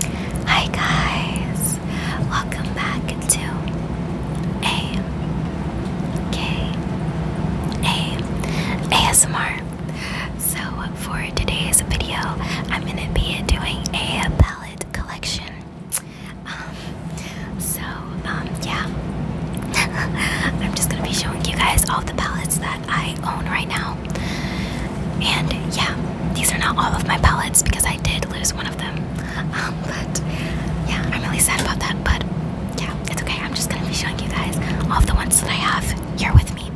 Hi guys, welcome back to a K a ASMR. So for today's video, I'm gonna be doing a palette collection. Um, so um, yeah, I'm just gonna be showing you guys all the palettes that I own right now. And yeah, these are not all of my pellets because I did lose one of them. Um, but yeah, I'm really sad about that. But yeah, it's okay. I'm just gonna be showing you guys all of the ones that I have here with me.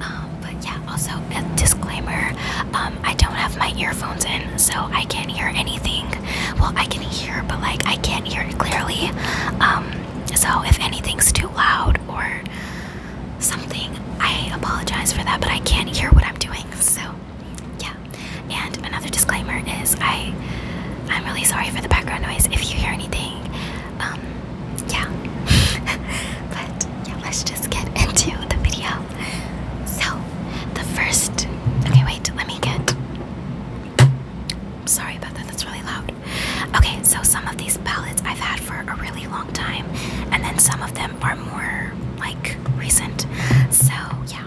Um, but yeah, also a disclaimer: um, I don't have my earphones in, so I can't hear anything. Well, I can hear, but like I can't hear clearly. Um, so if anything's too loud or something. I apologize for that, but I can't hear what I'm doing. So, yeah. And another disclaimer is I I'm really sorry for the background noise if you hear anything. Um yeah. but yeah, let's just get into the video. So, the first Okay, wait. Let me get Sorry about that. That's really loud. Okay, so some of these palettes I've had for a really long time, and then some of them them more like recent. So yeah.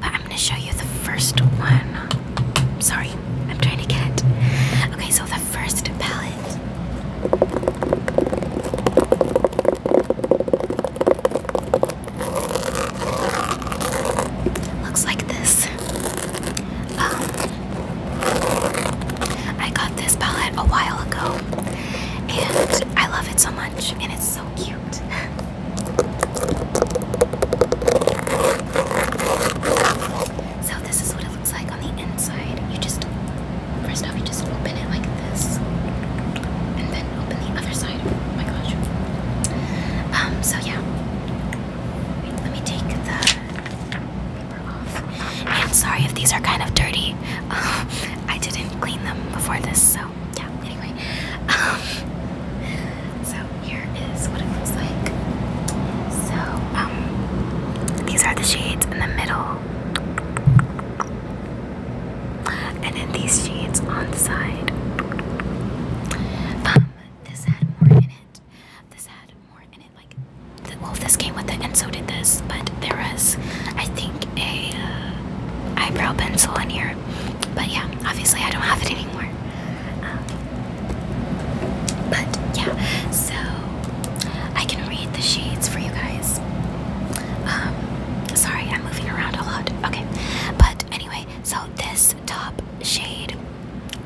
But I'm gonna show you the first one. Sorry, I'm trying to get it. Okay, so the first palette. Looks like this. Um, I got this palette a while ago and I love it so much, and it's so cute. So this is what it looks like on the inside. You just first off, you just open it like this, and then open the other side. Oh my gosh. Um. So yeah. Wait, let me take the off. And sorry if these are kind of dirty. Um, I didn't clean them before this, so yeah. Anyway, um, so here is what it looks like. So um, these are the shades in the middle, and then these shades on the side. Um, this had more in it. This had more in it well, this came with it, and so did this. But there was, I think, a uh, eyebrow pencil on here. But yeah, obviously, I don't have it anymore. Um, but yeah, so I can read the shades for you guys. Um, sorry, I'm moving around a lot. Okay, but anyway, so this top shade,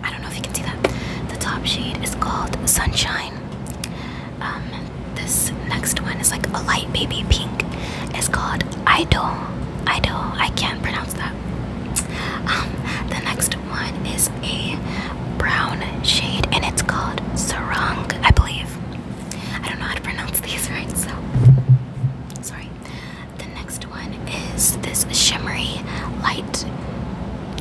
I don't know if you can see that. The top shade is called Sunshine. Um, this next one is like a light baby pink. It's called Idol. Idol. I can't pronounce that. Um, the next one is a brown shade and it's called Sarang, I believe. I don't know how to pronounce these right, so sorry. The next one is this shimmery light.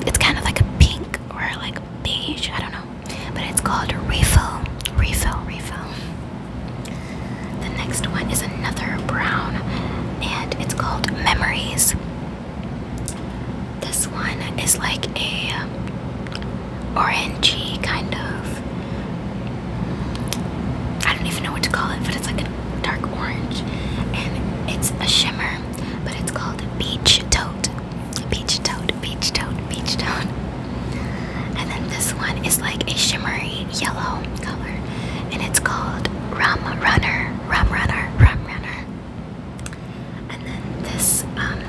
It's kind of like a pink or like beige, I don't know but it's called refill, refill, refill. The next one is another brown, and it's called Memories. This one is like a orangey kind of. I don't even know what to call it, but it's like a dark orange, and it's a shimmer. But it's called Beach Tote. Beach toad, beach toad, beach toad. And then this one is like a shimmery yellow color, and it's called Rum Runner, Rum Runner, Rum Runner. And then this, um,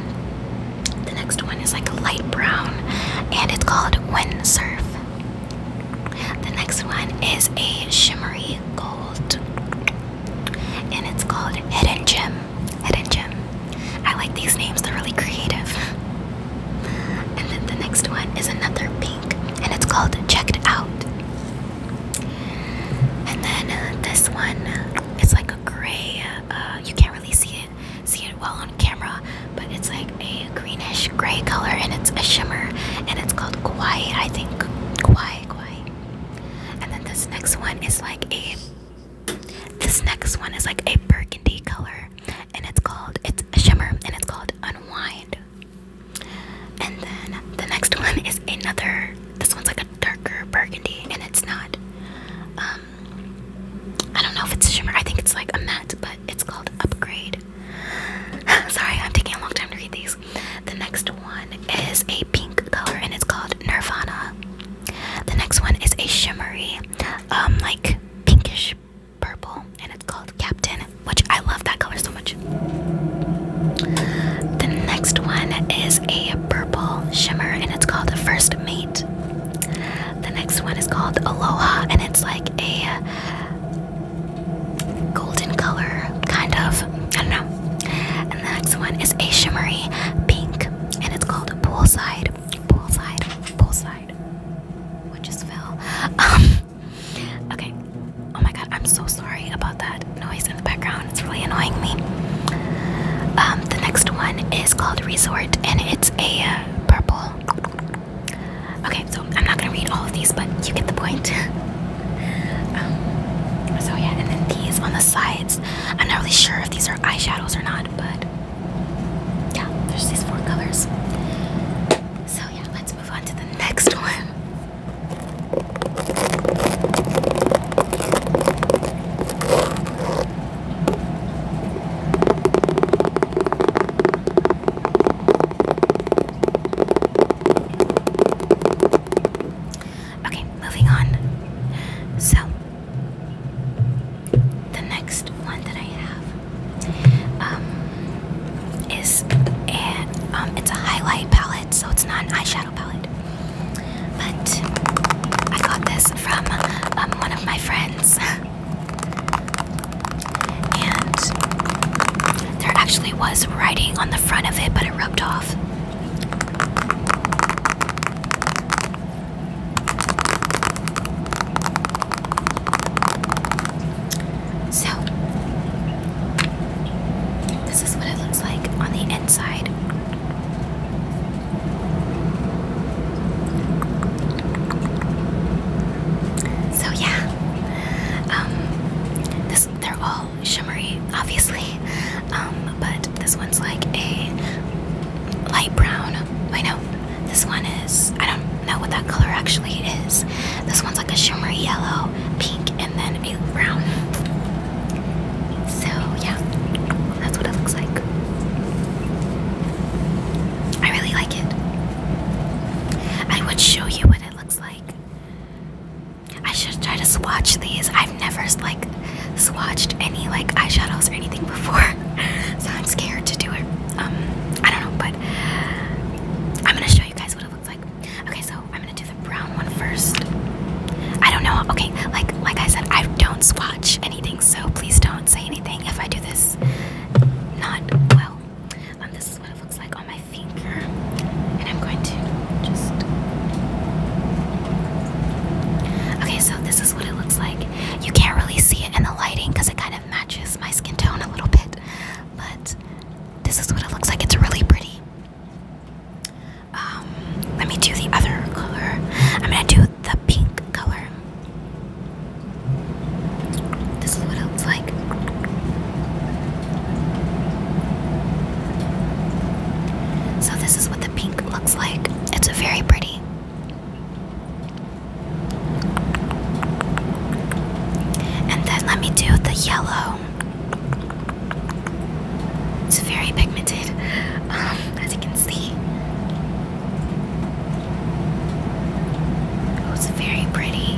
the next one is like a light brown, and it's called Windsurf. The next one is a shimmery gold and it's called Head and Jim. Head and Jim. I like these names, they're really creative. and then the next one is another pink, and it's called Checked Out. And then uh, this one, uh, is like a gray, uh, you can't really see it, see it well on camera, but it's like a greenish gray color and it's a shimmer and it's called Quiet, I think. Quiet, Quiet. And then this next one is like a this next one is like a burgundy color and it's called it's a shimmer and it's called unwind. And then the next one is another this one's like a darker burgundy and it's not um I don't know if it's a shimmer. I think it's like a matte, but it's called upgrade. Sorry, I'm taking a long time to read these. The next one is a pink color and it's called Nirvana. The next one is a shimmery, um, like pinkish purple, and it's called Captain, which I love that color so much. The next one is a purple shimmer, and it's called First Mate. The next one is called Aloha, and it's like a golden color, kind of. I don't know. And the next one is a shimmery pink, and it's called Poolside, Poolside, Poolside, which is Phil. Um, okay. Oh my god, I'm so sorry about that noise in the background. It's really annoying me. Um, the next one is called Resort, and it's a uh, purple. Okay, so I'm not gonna read all of these, but you get the point. Um, so yeah, and then these on the sides I'm not really sure if these are eyeshadows or not, but yeah, there's these four colors. So yeah, let's move on to the next one. Okay, moving on. So, the next one that I have um, is a, um, it's a highlight palette, so it's not an eyeshadow palette. But I got this from um, one of my friends, and there actually was writing on the front of it, but it rubbed off. So, this is what it looks like on the inside. So yeah, um, they're all shimmery, obviously. Um, but this one's like a light brown. I know this one is, I don't know what that color actually is. This one's like a shimmery yellow, pink, and then a brown. So, yeah, that's what it looks like. I really like it. I would show you what it looks like. I should try to swatch these. I've never like swatched any like eyeshadows or anything before, so I'm scared to do it. Um, I don't know, but I'm gonna show you guys what it looks like. Okay, so I'm gonna do the brown one first. I don't know. Okay, like like I said, I don't swatch anything, so please don't say anything if I do this not well. Um, this is what it looks like on my finger, and I'm going to. Okay, so this is what it looks like. You can't really see it in the lighting because it kind of matches my skin tone a little bit, but this is what it looks like. It's really pretty. Um, let me do the other color. I'm gonna do the pink color. This is what it looks like. So, this is what the pink looks like. It's very pretty. And then let me do the yellow. It's very pigmented, um, as you can see. Oh, it's very pretty.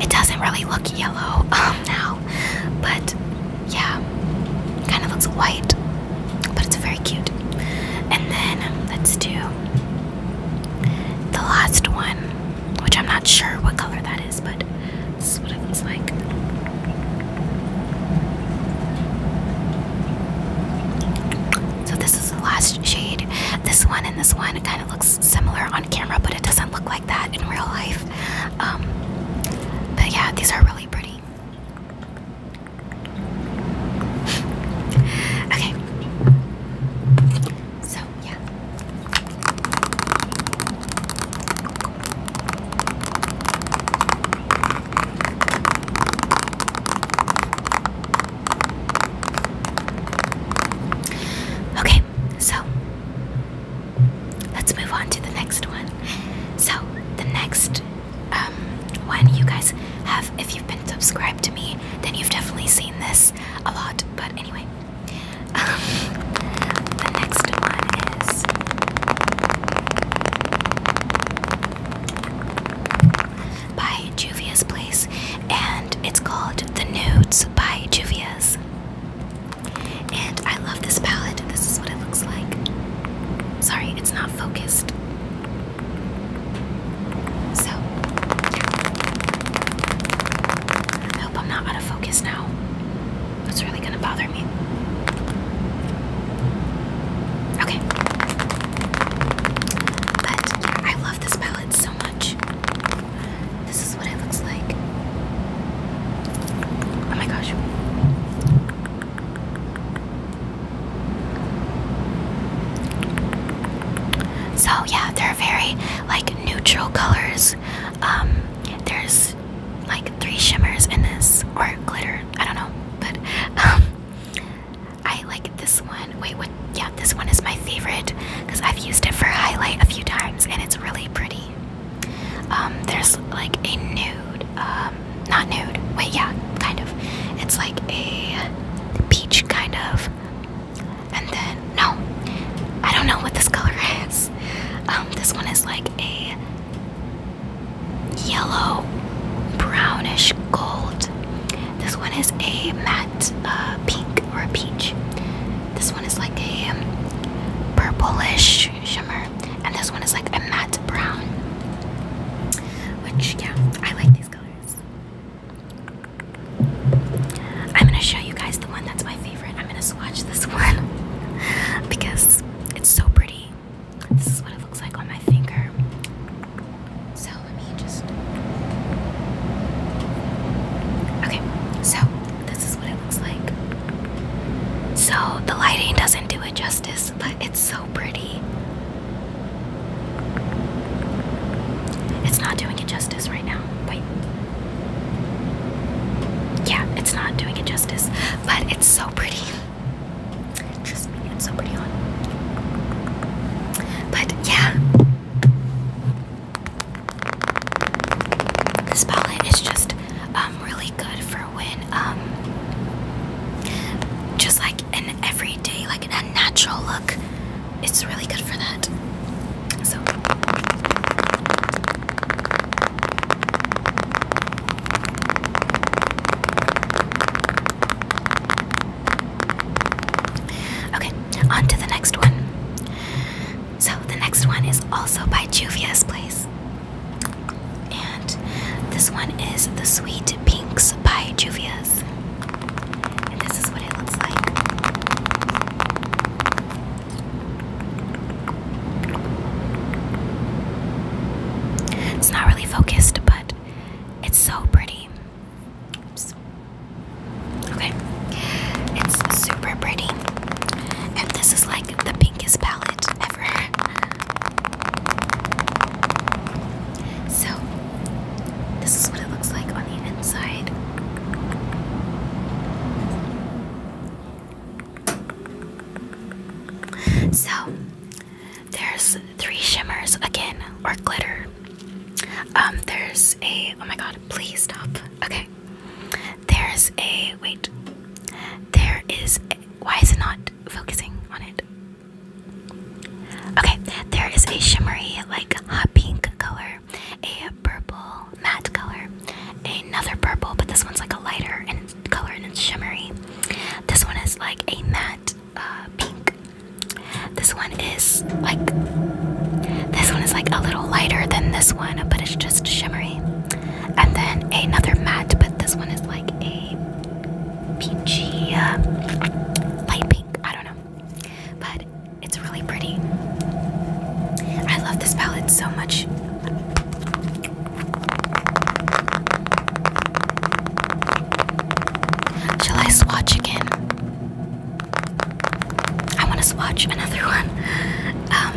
It doesn't really look yellow um, now, but yeah, kind of looks white, but it's very cute. And then let's do the last one, which I'm not sure what color that is, but this is what it looks like. So this is the last shade. This one and this one kind of looks similar on camera, but it doesn't look like that in real life. Um, but yeah, these are really pretty. Okay. So yeah. Okay, so let's move on to the next one. So the next um, one you guys have, if you've been subscribed to me, then you've definitely seen this a lot. But anyway, um, the next one is by Juvia's Place, and it's called The Nudes by Juvia's. And I love this palette. This is what it looks like. Sorry, it's not focused. So, I hope I'm not out of focus now. That's really gonna bother me. Okay. But I love this palette so much. This is what it looks like. Oh my gosh. So yeah, they're very like neutral colors. Um, there's like three shimmers in this, or glitter. I don't know, but um, I like this one. Wait, what? Yeah, this one is my favorite because I've used it for highlight a few times, and it's really pretty. Um, there's like a nude, um, not nude, wait, yeah, kind of. It's like a peach kind of, and then, no, I don't know what this color is. Um, this one is like a yellow, brownish gold. This one is a matte uh, pink or a peach. This one is like a purplish shimmer, and this one is like a matte brown. Which, yeah, I like these colors. I'm gonna show you guys the one that's my favorite. I'm gonna swatch this one because it's so pretty. This is what it looks like on my finger. So let me just. Okay, so this is what it looks like. So the lighting doesn't do it justice, but it's so pretty. It's not doing it justice right now. Wait. Yeah, it's not doing it justice, but it's so pretty. Trust me, it's so pretty on. But yeah. This palette is just um, really good for um, just like an everyday like an unnatural look it's really good for that so okay on to the next one so the next one is also by Juvia's Place and this one is the Sweet Pinks by Juvia's. this is what it looks like. It's not really focused, but it's so pretty. Oops. Okay. It's super pretty. And this is like the pinkest palette ever. So, this is what it looks like on the inside. So, there's three shimmers again, or glitter. Um, there's a oh my god, please stop. Okay, there's a wait. There is why is it not focusing on it? Okay, there is a shimmery like hot pink color, a purple matte color, another purple, but this one's like a lighter and color and it's shimmery. This one is like a matte uh, pink. This one is like this one is like a little lighter than this one, but it's just shimmery and then another matte, but this one is like a peachy, uh, light pink. I don't know, but it's really pretty. I love this palette so much. Shall I swatch again? I want to swatch another one. Um,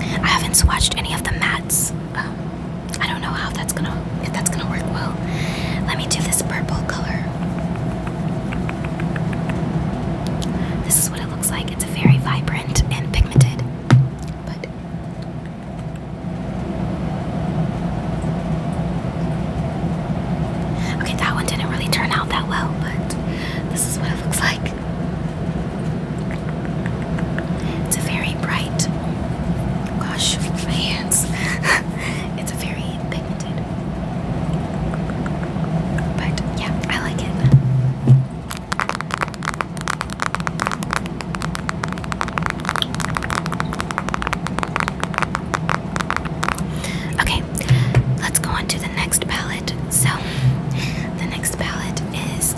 I haven't swatched any of the mats. Um, I don't know how that's gonna if that's gonna work well. Let me do this purple color. This is what it looks like. It's a very vibrant and pigmented. But Okay, that one didn't really turn out that well, but this is what it looks like. It's a very bright, gosh, my hands. it's a very pigmented. But yeah, I like it. Okay, let's go on to the next palette. So, the next next palette is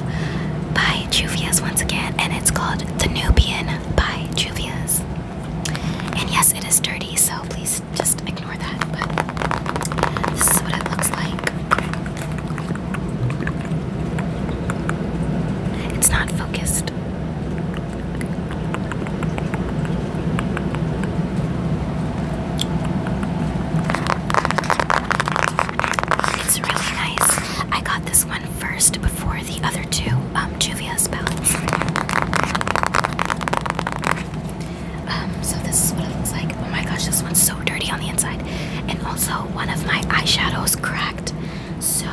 by Juvia's once again, and it's called The Nubian by Juvia's. And yes, it is dirty, so please just ignore that. But this is what it looks like. It's not focused. It's really nice. I got this one first before the other two um, Juvia's um, so this is what it looks like. Oh my gosh, this one's so dirty on the inside. And also, one of my eyeshadows cracked. So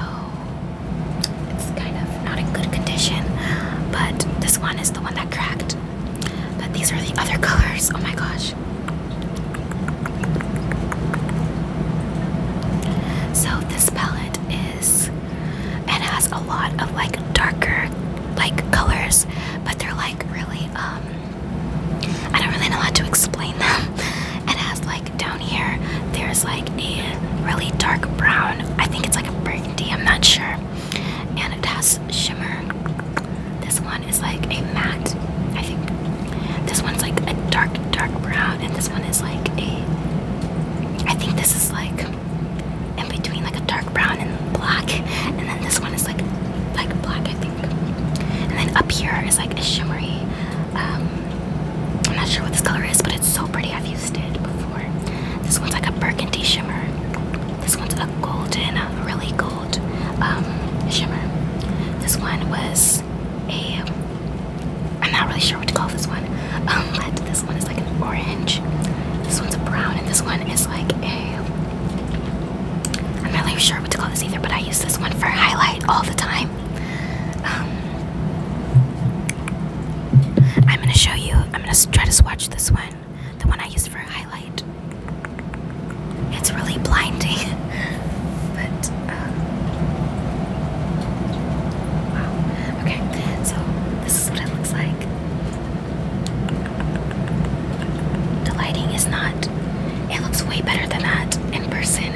it's kind of not in good condition. But this one is the one that cracked. But these are the other colors. Oh my gosh. So this palette is and has a lot of like darker like colors, but they're like really um I don't really know how to explain them. It has like down here there's like a really dark brown. I think it's like a burgundy, I'm not sure and it has shimmer. This one is like a matte, I think. This one's like a dark, dark brown, and this one is like a. I think this is like in between like a dark brown and black, and then this one is like like black, I think. And then up here is like a shimmery. Um, I'm not sure what this color is, but it's so pretty. I've used it before. This one's like a burgundy shimmer. This one's a golden, really gold um, shimmer. This one was a, I'm not really sure what to call this one, um, but this one is like an orange. This one's a brown, and this one is like a, I'm not really sure what to call this either, but I use this one for highlight all the time. Um, I'm gonna show you, I'm gonna try to swatch this one the one I use for highlight. It's really blinding, but um, wow. Okay, so this is what it looks like. The lighting is not. It looks way better than that in person,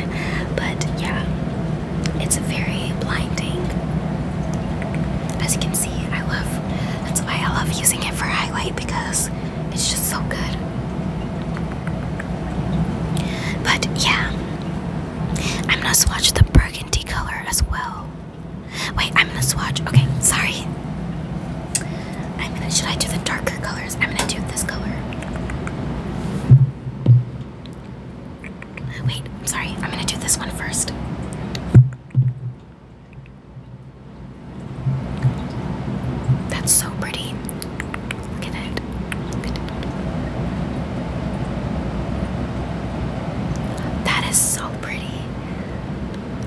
but yeah, it's very blinding. As you can see, I love. That's why I love using it for highlight because it's just so good. But yeah, I'm gonna swatch the burgundy color as well. Wait, I'm gonna swatch. Okay, sorry. I'm gonna. Should I do the darker colors? I'm gonna do this color. Wait, sorry. I'm gonna do this one first. That's so pretty. Look at it. That is so pretty.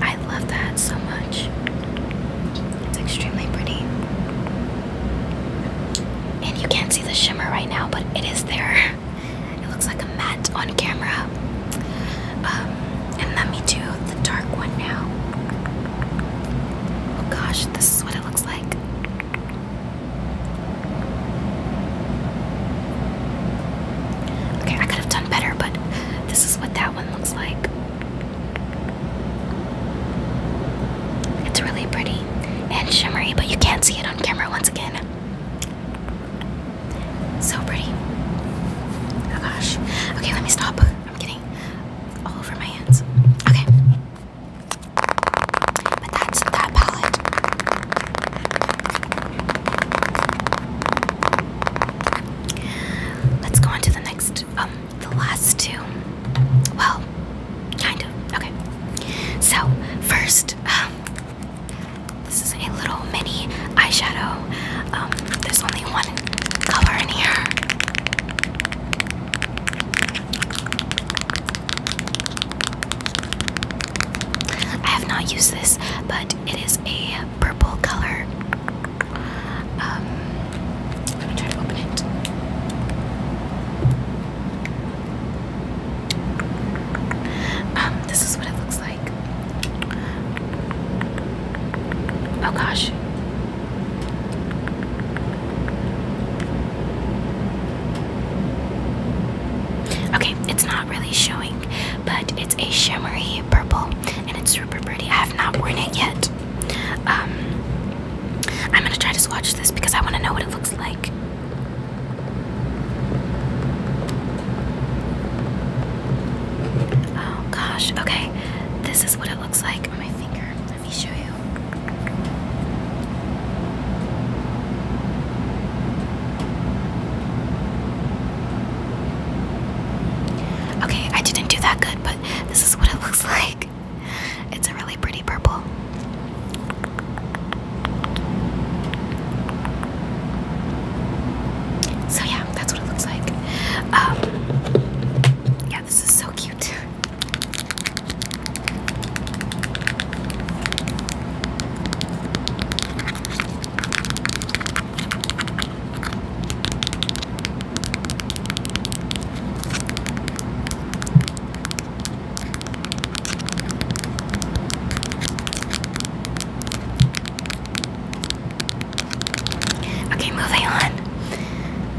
I love that so much. It's extremely pretty. And you can't see the shimmer right now, but it is there. It looks like a matte on camera. Um, and let me do the dark one now. Oh gosh, this is what it looks like. Okay, I could have done better, but this is what that one looks like. It's really pretty and shimmery, but you can't see it on camera once again. So pretty. Oh gosh. Okay, let me stop. I'm getting all over my hands. Okay. But that's that palette. Let's go on to the next, um, the last two. Well, kind of. Okay. So, first, um, this is a little mini eyeshadow. Um, there's only one color in here. I have not used this, but it is a purple color. Um, let me try to open it. Um, this is what it looks like. Oh gosh. Okay, it's not really showing, but it's a shimmery purple and it's super pretty. I have not worn it yet. Um, I'm gonna try to swatch this because I want to know what it looks like. Oh gosh, okay. This is what it looks like on my finger. Let me show you. Okay, I didn't do that good, but this is what it looks like. It's a really pretty purple. So, yeah, that's what it looks like. Um, yeah, this is so cute. Okay, moving on.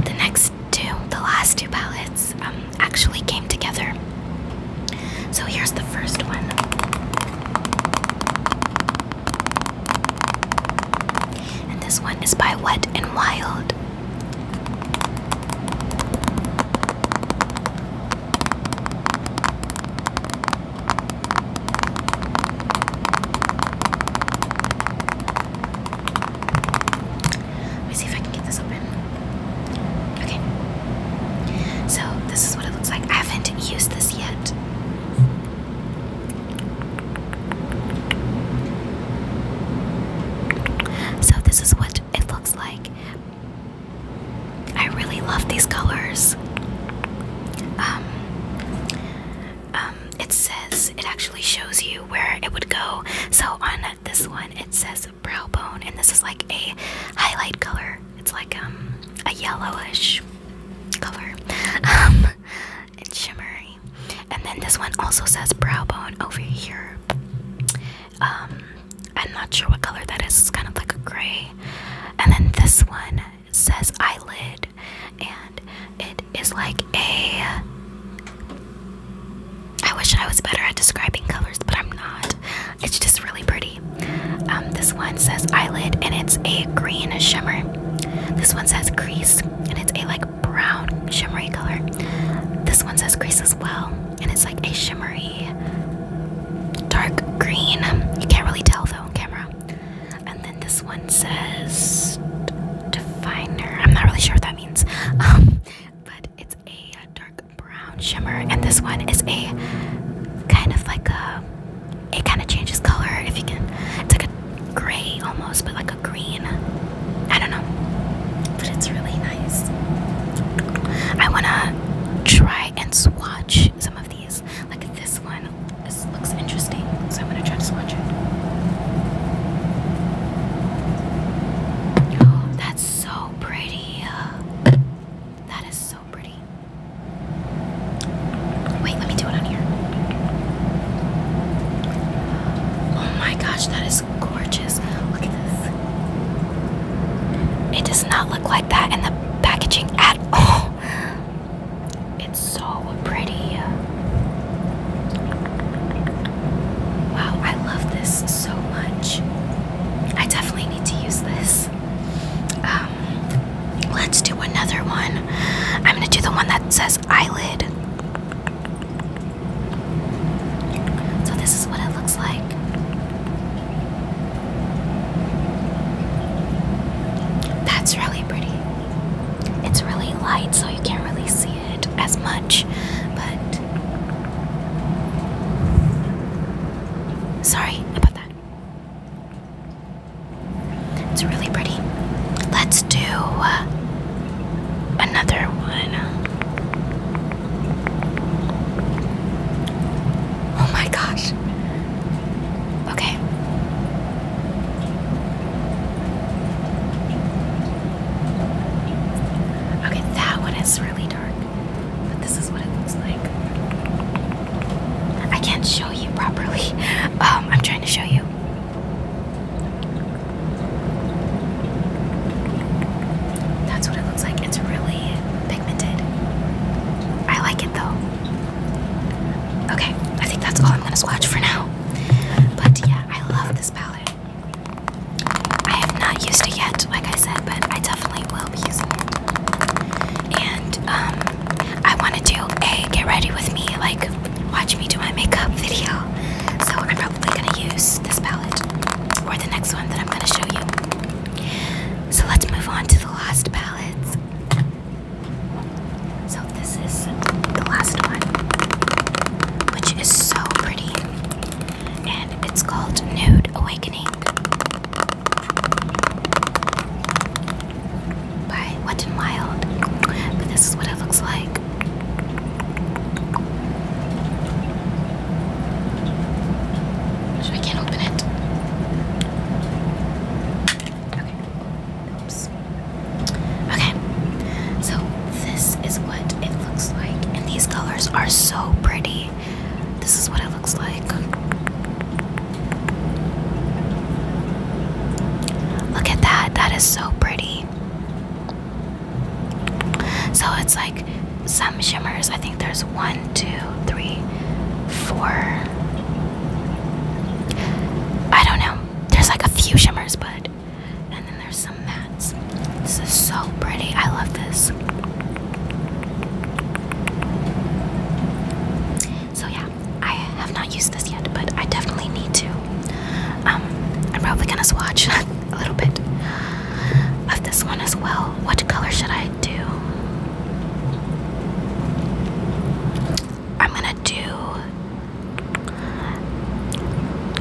The next two, the last two palettes, um, actually came together. So here's the first one. And this one is by Wet and Wild. Let me see if I get this open. Okay. So, this is what it looks like. I haven't used this yet. So, this is what it looks like. I really love these colors. Um, um, it says it actually shows you where it would go. So on this one, it says brow bone, and this is like a highlight color. It's like um, a yellowish color. Um, it's shimmery. And then this one also says brow bone over here. Um, I'm not sure what color that is. It's kind of like a gray. And then this one says eyelid, and it is like a. I wish I was better at describing colors, but I'm not. It's just really pretty. Um, this one says eyelid, and it's a green shimmer. This one says crease, and it's a like brown shimmery color. This one says crease as well, and it's like a shimmery dark green. You can't really tell though on camera. And then this one says definer. I'm not really sure what that means. Um, but it's a dark brown shimmer, and this one is a kind of like a. It kind of changes color if you can. It's like a gray almost, but like a green. I don't know, but it's really nice. I wanna try and swatch some of these. Like this one, this looks interesting, so I'm gonna try to watch it. that's so pretty. That is so pretty. Wait, let me do it on here. Oh my gosh, that is gorgeous. Look at this. It does not look like that in the packaging at all. It's so pretty. Wow, I love this so much. I definitely need to use this. Um, let's do another one. I'm gonna do the one that says eyelid. So, this is what it looks like. That's really pretty. It's really light, so you can't really see it as much, but sorry about that. It's really pretty. Let's do uh, another one. Oh my gosh. Okay. Okay, that one is really dark, but this is what it looks like. I can't show you properly. Um, I'm trying to show you. That's what it looks like. It's really pigmented. I like it though. Okay, I think that's all I'm gonna swatch for now. But yeah, I love this palette. I have not used it yet, like I said, but I definitely will be using it. And um, I want to do a get ready with me, like watch me do my makeup video. So I'm probably gonna use this palette or the next one that I'm gonna show you. So let's move on to the last palettes. So this is the last one, which is so pretty, and it's called Nude Awakening by Wet n Wild. But this is what it looks like. I can't open it. Okay. Oops. Okay, so this is what it looks like, and these colors are so pretty. This is what it looks like. Look at that, that is so pretty. So it's like some shimmers. I think there's one, two, three, four, I don't know. There's like a few shimmers, but and then there's some mattes. This is so pretty. I love this. So yeah, I have not used this yet, but I definitely need to. Um, I'm probably gonna swatch a little bit of this one as well. What color should I do? I'm gonna do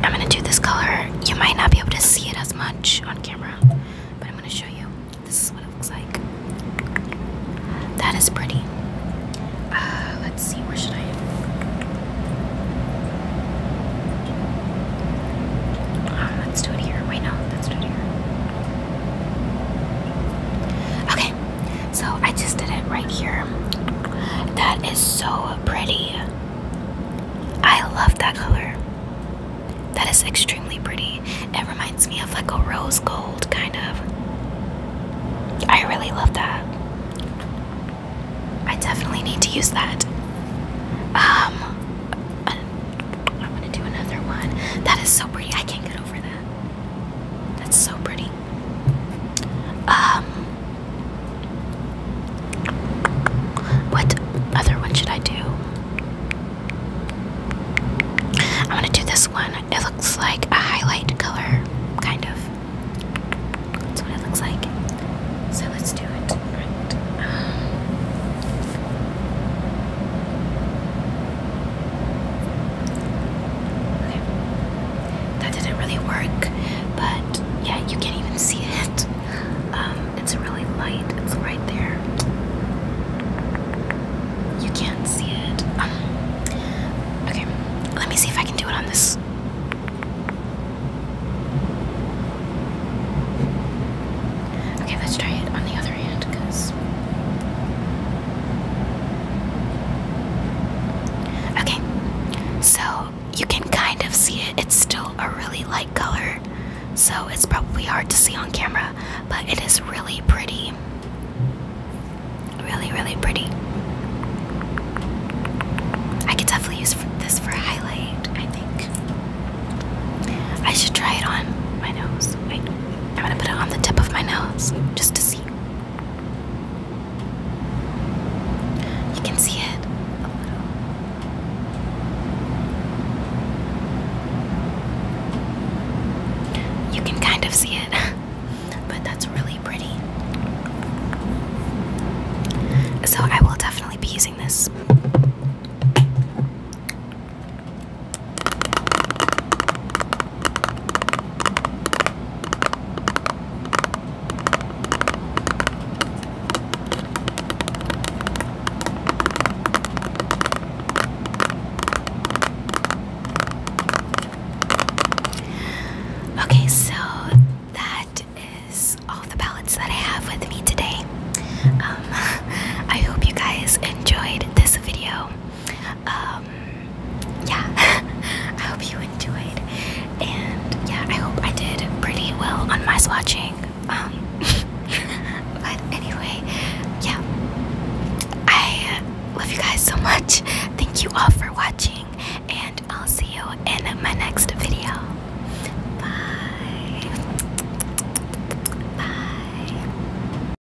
I'm gonna do this color. You might not be able to see it as much on camera, but I'm gonna show you. This is what it looks like. That is pretty. Uh, let's see, where should I? Um, let's do it here. Wait, no, let's do it here. Okay, so I just did it right here. That is so pretty. I love that color. That is extremely pretty. It reminds me of like a rose gold, kind of. I really love that. I definitely need to use that. Um, uh, I'm gonna do another one. That is so pretty. I can't get over that. That's so pretty. Um, what other one should I do? I'm gonna do this one. It looks like a highlight color, kind of. That's what it looks like. So let's do it. Okay. That didn't really work, but yeah, you can't even see it. Um, it's really light, it's right there. You can't see it. okay, let me see if I can do it on this. Okay, let's try it on the other Okay, so you can kind of see it. It's still a really light color, so it's probably hard to see on camera, but it is really pretty. Really, really pretty. I could definitely use this for highlight, I think. I should try it on my nose. Wait. I'm gonna put it on the tip of my nose just to see. You can see it You can kind of see it, but that's really pretty. So I will definitely be using this. Okay, so that is all the palettes that I have with me today. Um, I hope you guys enjoyed this video. Um, yeah, I hope you enjoyed, and yeah, I hope I did pretty well on my swatching. Um, but anyway, yeah, I love you guys so much. Thank you all for watching, and I'll see you in my next video. Bye. Bye.